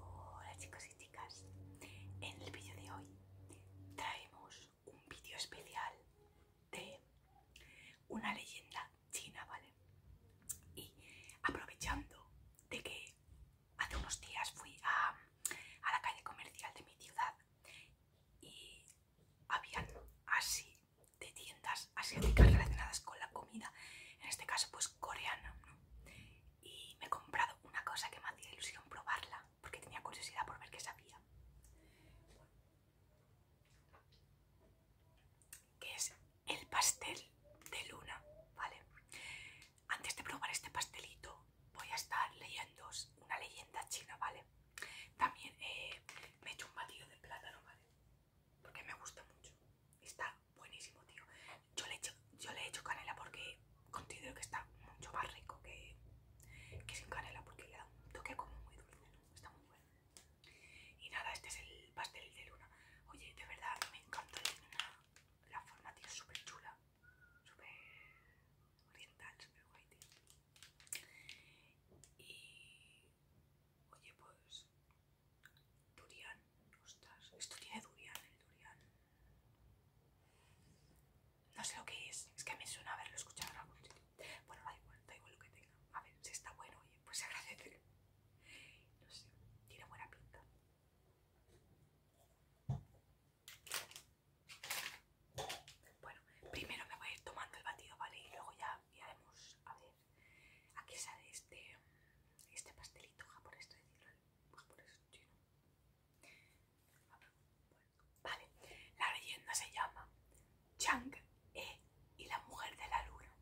Hola chicos y chicas, en el vídeo de hoy traemos un vídeo especial de una leyenda china, ¿vale? Y aprovechando de que hace unos días fui a, la calle comercial de mi ciudad y habían así de tiendas asiáticas relacionadas con la comida, en este caso pues coreana, ¿no? y me he comprado una cosa que me hacía ilusión probarla porque tenía curiosidad por ver qué sabía, que es el pastel de luna, ¿vale? Antes de probar este pastelito, voy a estar leyendo una leyenda china, ¿vale? También eh, me he hecho un batido de plátano, ¿vale? Porque me gusta mucho. Está buenísimo, tío. Yo le, he hecho, yo le he hecho canela porque considero que está mucho más rico que, sin canela, porque le da un toque como muy dulce, Está muy bueno. Y nada, este es el pastel de luna. Oye, de verdad, me encanta el luna la forma, tiene súper chula, súper oriental, súper guay, tío. Y oye, pues durian, ostras, esto tiene durian, el durian. No sé lo que es, es que me suena haberlo escuchado en algún Bueno, da igual, da igual lo que tenga. A ver, si está bueno, oye, pues agradecer No sé, tiene buena pinta. Bueno, primero me voy a ir tomando el batido, ¿vale? Y luego ya vemos a ver a qué sale este, este pastelito ¿Por esto? Pues por eso Vale, la leyenda se llama Chang E y la mujer de la luna.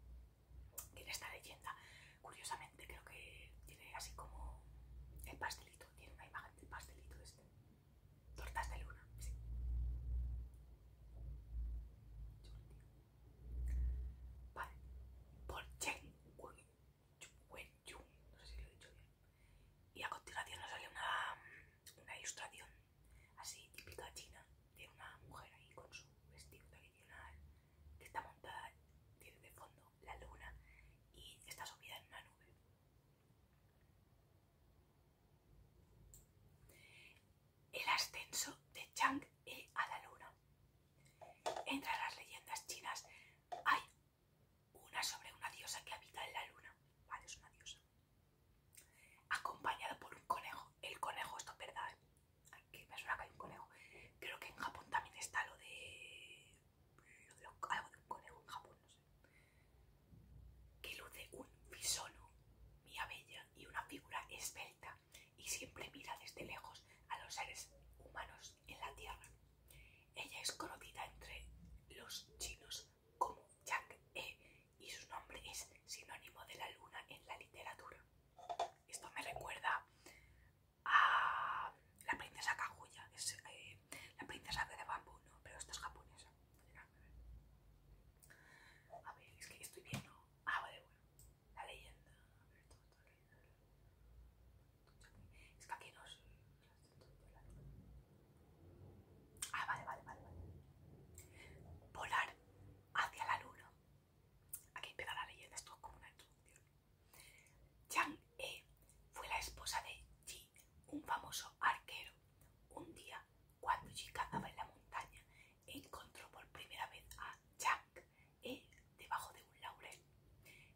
Tiene esta leyenda. Curiosamente creo que tiene así como el pastelito, tiene una imagen del pastelito este. Tortas de luna, sí. Vale. Por Chen Wen no sé si lo he dicho bien. Y a continuación nos sale una, una ilustración así típica china de una mujer ahí con su vestido tradicional que está montada, tiene de fondo la luna y está subida en una nube. El ascenso de Chang'e a la luna. Entre las leyendas chinas hay una sobre una diosa que habita en la luna. Vale, es una diosa. Acompañada por un conejo. El conejo, esto es verdad, Aquí me suena que hay un conejo. Creo que en Japón también está lo de. algo de un conejo en Japón, no sé. Que luce un fisono, mía bella, y una figura esbelta, y siempre mira desde lejos a los seres humanos en la tierra. Ella es conocida entre los chinos como Jack E, y su nombre es sinónimo de la luna en la literatura. Esto me recuerda a la princesa Kaguya, es eh, la princesa de bambú, ¿no? Pero esta es japonesa. A ver, es que estoy viendo. Ah, vale, bueno. La leyenda. A ver, todo, todo, Es que aquí no Ah, vale, vale, vale, vale. Volar hacia la luna. Aquí empieza la leyenda, esto es como una introducción chang E fue la esposa de Ji, un famoso arquero. Un día, cuando Ji cazaba en la montaña, encontró por primera vez a chang E debajo de un laurel.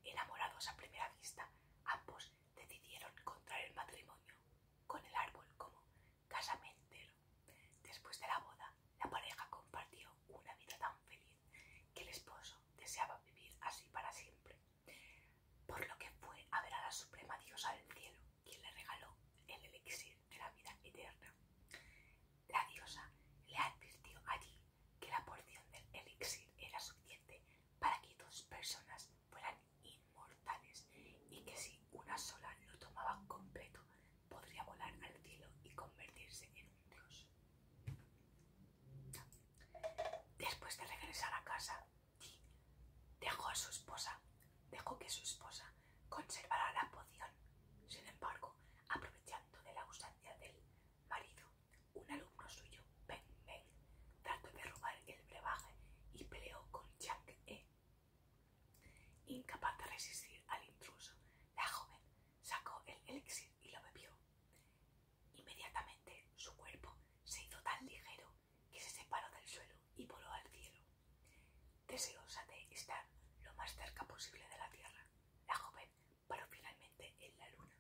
Enamorados a primera vista, ambos decidieron contraer el matrimonio con el árbol como casamentero. Después de la boda, la pareja compartió una vida tan feliz que el esposo deseaba vivir así para siempre, por lo que fue a ver a la suprema diosa del cielo, quien le regaló el elixir de la vida eterna. La diosa le advirtió allí que la porción del elixir era suficiente para que dos personas fueran inmortales y que si una sola lo tomaba completo podría volar al cielo y convertirse en un dios. Después de regresar a casa, dejó a su esposa, dejó que su esposa conservara la poción. Sin embargo, aprovechando de la ausencia del marido, un alumno suyo, Ben ben trató de robar el brebaje y peleó con jack E. Incapaz de resistir al intruso, la joven sacó el elixir y lo bebió. Inmediatamente su cuerpo se hizo tan ligero que se separó del suelo y voló al cielo. Deseosa de estar lo más cerca posible de la tierra, la joven paró finalmente en la luna.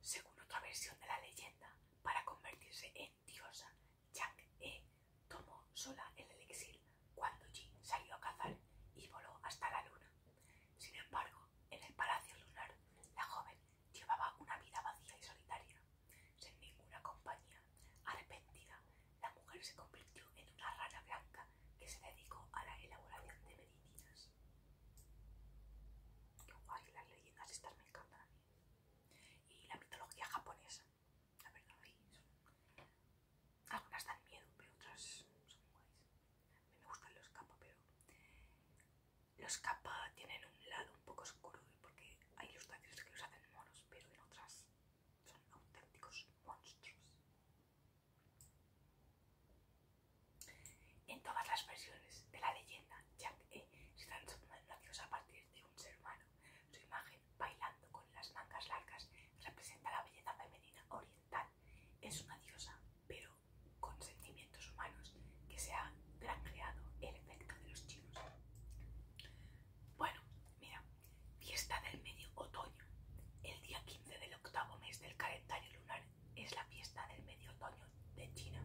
Según otra versión de la leyenda, para convertirse en diosa, Jack E Tomó sola el elixir cuando Jin salió a cazar y voló hasta la luna. Sin embargo, en el palacio lunar, la joven llevaba una vida vacía y solitaria. Sin ninguna compañía, arrepentida, la mujer se convirtió en una rana blanca que se dedicó a la elaboración de medicinas. Qué guay, las leyendas estas me encantan Y la mitología japonesa. La verdad, Algunas dan miedo, pero otras son guays. A mí me gustan los Kappa pero los capas tienen un lado un poco oscuro porque hay ilustraciones que los hacen moros, pero en otras son auténticos monstruos. En todas las versiones de la leyenda, Jack E. se dan a partir de un ser humano. Su imagen bailando con las mangas largas, representa la belleza femenina oriental. Es una diosa, pero con sentimientos humanos que se ha granjeado el efecto de los chinos. Bueno, mira, fiesta del medio otoño. El día 15 del octavo mes del calendario lunar es la fiesta del medio otoño de China.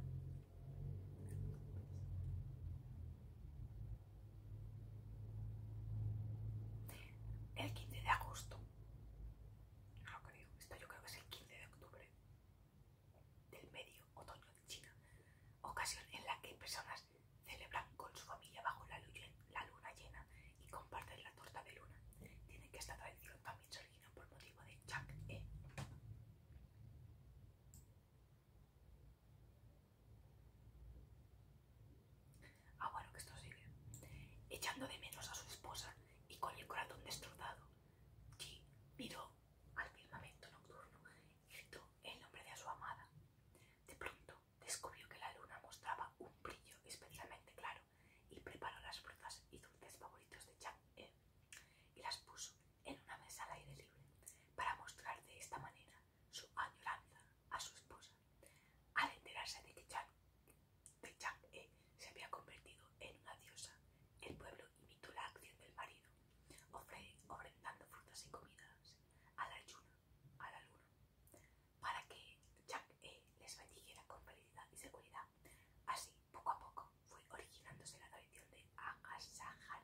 El 15 de agosto, no creo, esto yo creo que es el 15 de octubre del medio otoño de China, ocasión en la que personas celebran con su familia bajo la, la luna llena y comparten la torta de luna. Tienen que esta tradición también se por motivo de Chang E. Ah, bueno, que esto sigue. Echando de menos a su esposa y con el corazón destrozado, Ji miró al firmamento nocturno y gritó el nombre de su amada. De pronto descubrió que la luna mostraba un brillo especialmente claro y preparó las frutas y dulces favoritos de Jack E. y las puso en una mesa al aire libre para mostrar de esta manera su añoranza a su esposa. Al enterarse de que Jack, de E. se había convertido en una diosa, el pueblo imitó la acción del marido, ofre, ofrendando frutas y comidas a la, yuna, a la luna. Para que Jack E. les bendiguiera con validez y seguridad. Así, poco a poco, fue originándose la tradición de Agasajara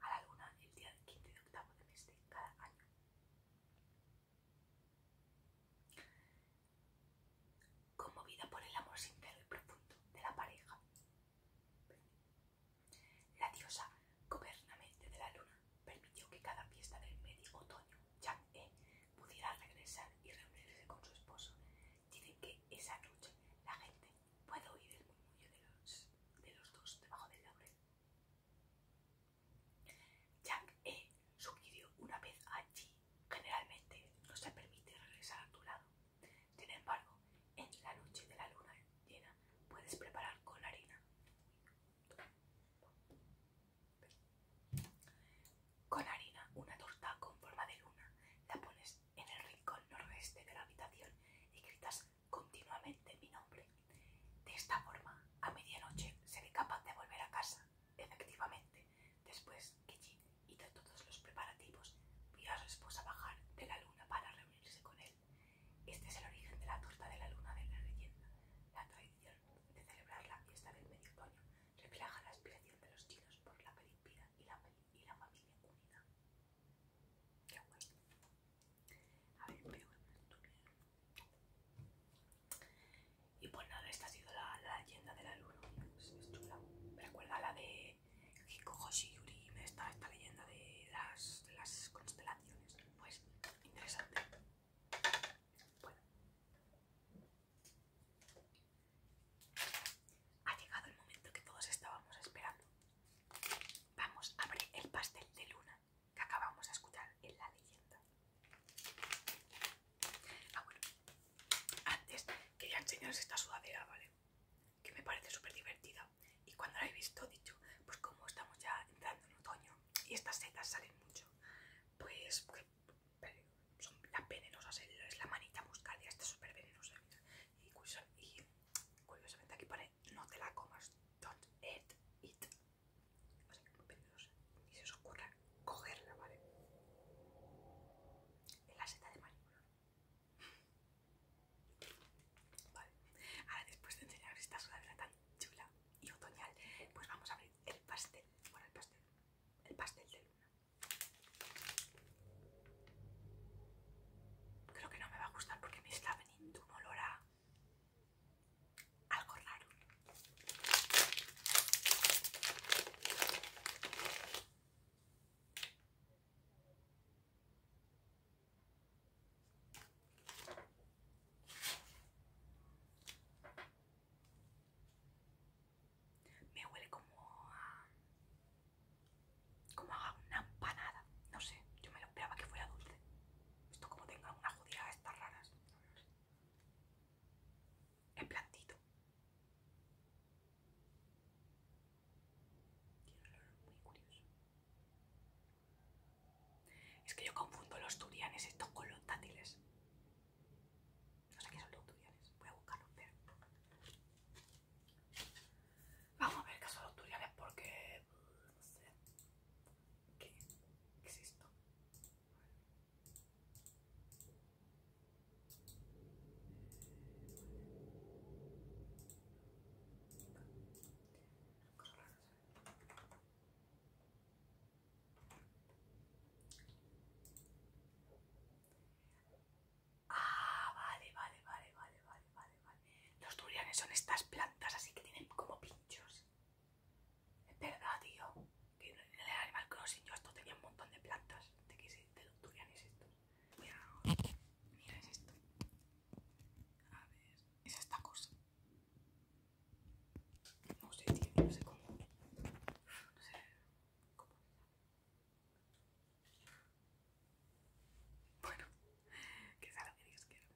a la luna el día 15 de octavo de mes cada año. Conmovida por el amor sincero y profundo de la pareja, la diosa gobernamente de la luna permitió que cada fiesta del medio otoño ya e pudiera regresar y reunirse con su esposo. Dicen que esa noche la gente puede oír el murmullo de los, de los dos debajo del laurel. Jack E. sugirió una vez a allí, generalmente no se permite regresar a tu lado. Sin embargo, en la noche de la luna llena puedes preparar con harina. Con harina, una torta con forma de luna, la pones en el rincón nordeste de la habitación y gritas continuamente mi nombre. De esta forma, a medianoche seré capaz de volver a casa. Efectivamente, después que Jim hizo todos los preparativos, vio a su esposa bajar de la luna para reunirse con él. Este es el origen de la torta de la luna de la leyenda. La tradición de celebrar la fiesta del medio otoño refleja la aspiración de los chinos por la felicidad y la, familia unida. Qué a ver, Y pues nada, esta ha sido la, leyenda de la luna. Me recuerda la de Hiko Yuri, esta, esta leyenda de las, de las constelaciones. Pues interesante. Bueno. Ha llegado el momento que todos estábamos esperando. Vamos a abrir el pastel de luna que acabamos de escuchar en la leyenda. Ah, bueno. Antes quería enseñaros esta sudadera, ¿vale? Que me parece súper divertida. Y cuando la he visto, dicho, pues como estamos ya entrando en otoño y estas setas salen mucho, pues son las venenosas, es la manita muscaria, Está súper venenosa. Y, y curiosamente aquí pone, no te la comas, don't eat it o sea se os ocurra cogerla, ¿vale? En la seta de mariposa. Vale, ahora después de enseñaros esta sudadera tan chula y otoñal, pues vamos a abrir el pastel, bueno el pastel, el pastel de luna. Creo que no me va a gustar porque me está veniendo un olor a algo raro. Me huele como a... como una empanada. No sé, yo me lo esperaba que fuera dulce. Esto como tenga una judía estas raras. En plantito. Es que yo confundo los turianes estos con los dátiles. No sé qué son los durianes. Voy a buscarlos, vean. Vamos a ver qué son los turianes porque... Mm, no sé. ¿Qué? ¿Qué es Ah, vale, vale, vale, vale, vale. Los durianes son estas plantas así que tienen como pinchos. Es verdad, tío. Que en el Animal Crossing yo esto tenía un montón de plantas. ¿De qué de los durianes estos? Mira, mira, es esto. A ver, es esta cosa. No sé, tío, no sé cómo. No sé cómo. Bueno, que sea lo que Dios quiera.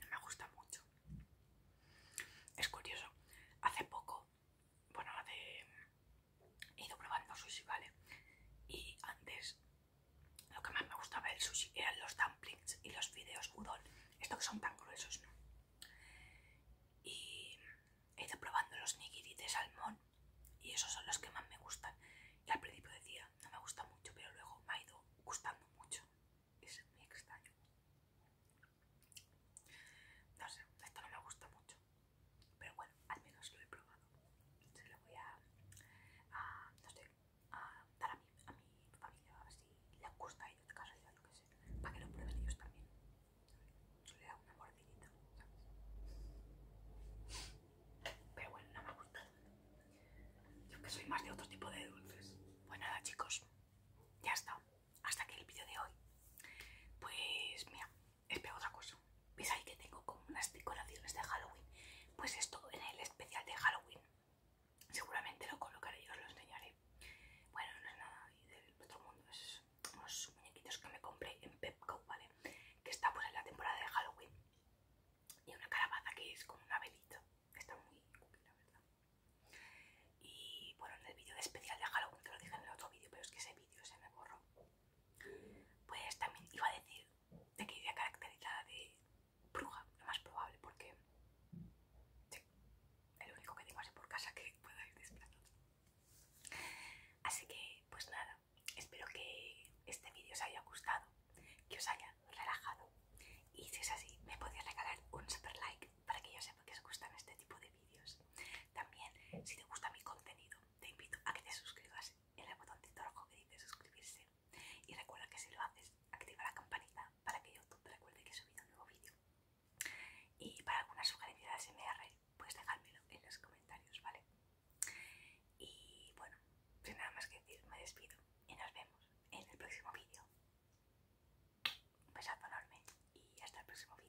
No me gusta mucho. Es curioso. Hace poco, bueno, he ido probando sushi, ¿vale? Y antes lo que más me gustaba del sushi eran los dumplings y los fideos udon. Estos que son tan gruesos, ¿no? Y He ido probando los nigiri de salmón y esos son los que más me gustan. Y al principio decía, no me gusta mucho, pero luego me ha ido gustando mucho. Es muy extraño. No sé, esto no me gusta mucho. Pero bueno, al menos lo he probado. Se lo voy a, no sé, a dar a mi, a mi familia, a ver si les gusta a ellos, caso yo, lo que sé, para que lo prueben ellos también le una mordidita, Pero bueno, no me gusta. Yo que soy más de otro tipo de dulces. Pues nada, chicos, ya está. Hasta aquí el vídeo de hoy. Pues mira, espero otra cosa. ves ahí que tengo como unas decoraciones de Halloween? Pues esto en el especial de Halloween. Seguramente lo colocaré y os lo enseñaré. Bueno, no es nada del otro mundo, es unos, muñequitos que me compré en Pepco, ¿vale? Que está pues en la temporada de Halloween. Y una calabaza que es como un velita. Está muy verdad. Y bueno, en el vídeo especial de Halloween, te lo dije en el otro vídeo, pero es que ese vídeo se me borró. Pues también iba a decir de que iría caracterizada de bruja, lo más probable, porque sí, el único que tengo así por casa que pueda ir desplazado. Así que, pues nada, espero que este vídeo os haya gustado, que os haya relajado y si es así, me podéis regalar un super like para que yo sepa que os gustan este tipo de vídeos. También, si te gusta mi contenido, te invito a que te suscribas en el botoncito rojo que dice suscribirse y recuerda que si lo haces, activa la campanita para que YouTube te recuerde que he subido un nuevo vídeo. Y para alguna sugerencia de ASMR, pues dejármelo en los comentarios, ¿vale? Y bueno, sin nada más que decir, me despido y nos vemos en el próximo vídeo. Un besazo enorme y hasta el próximo vídeo.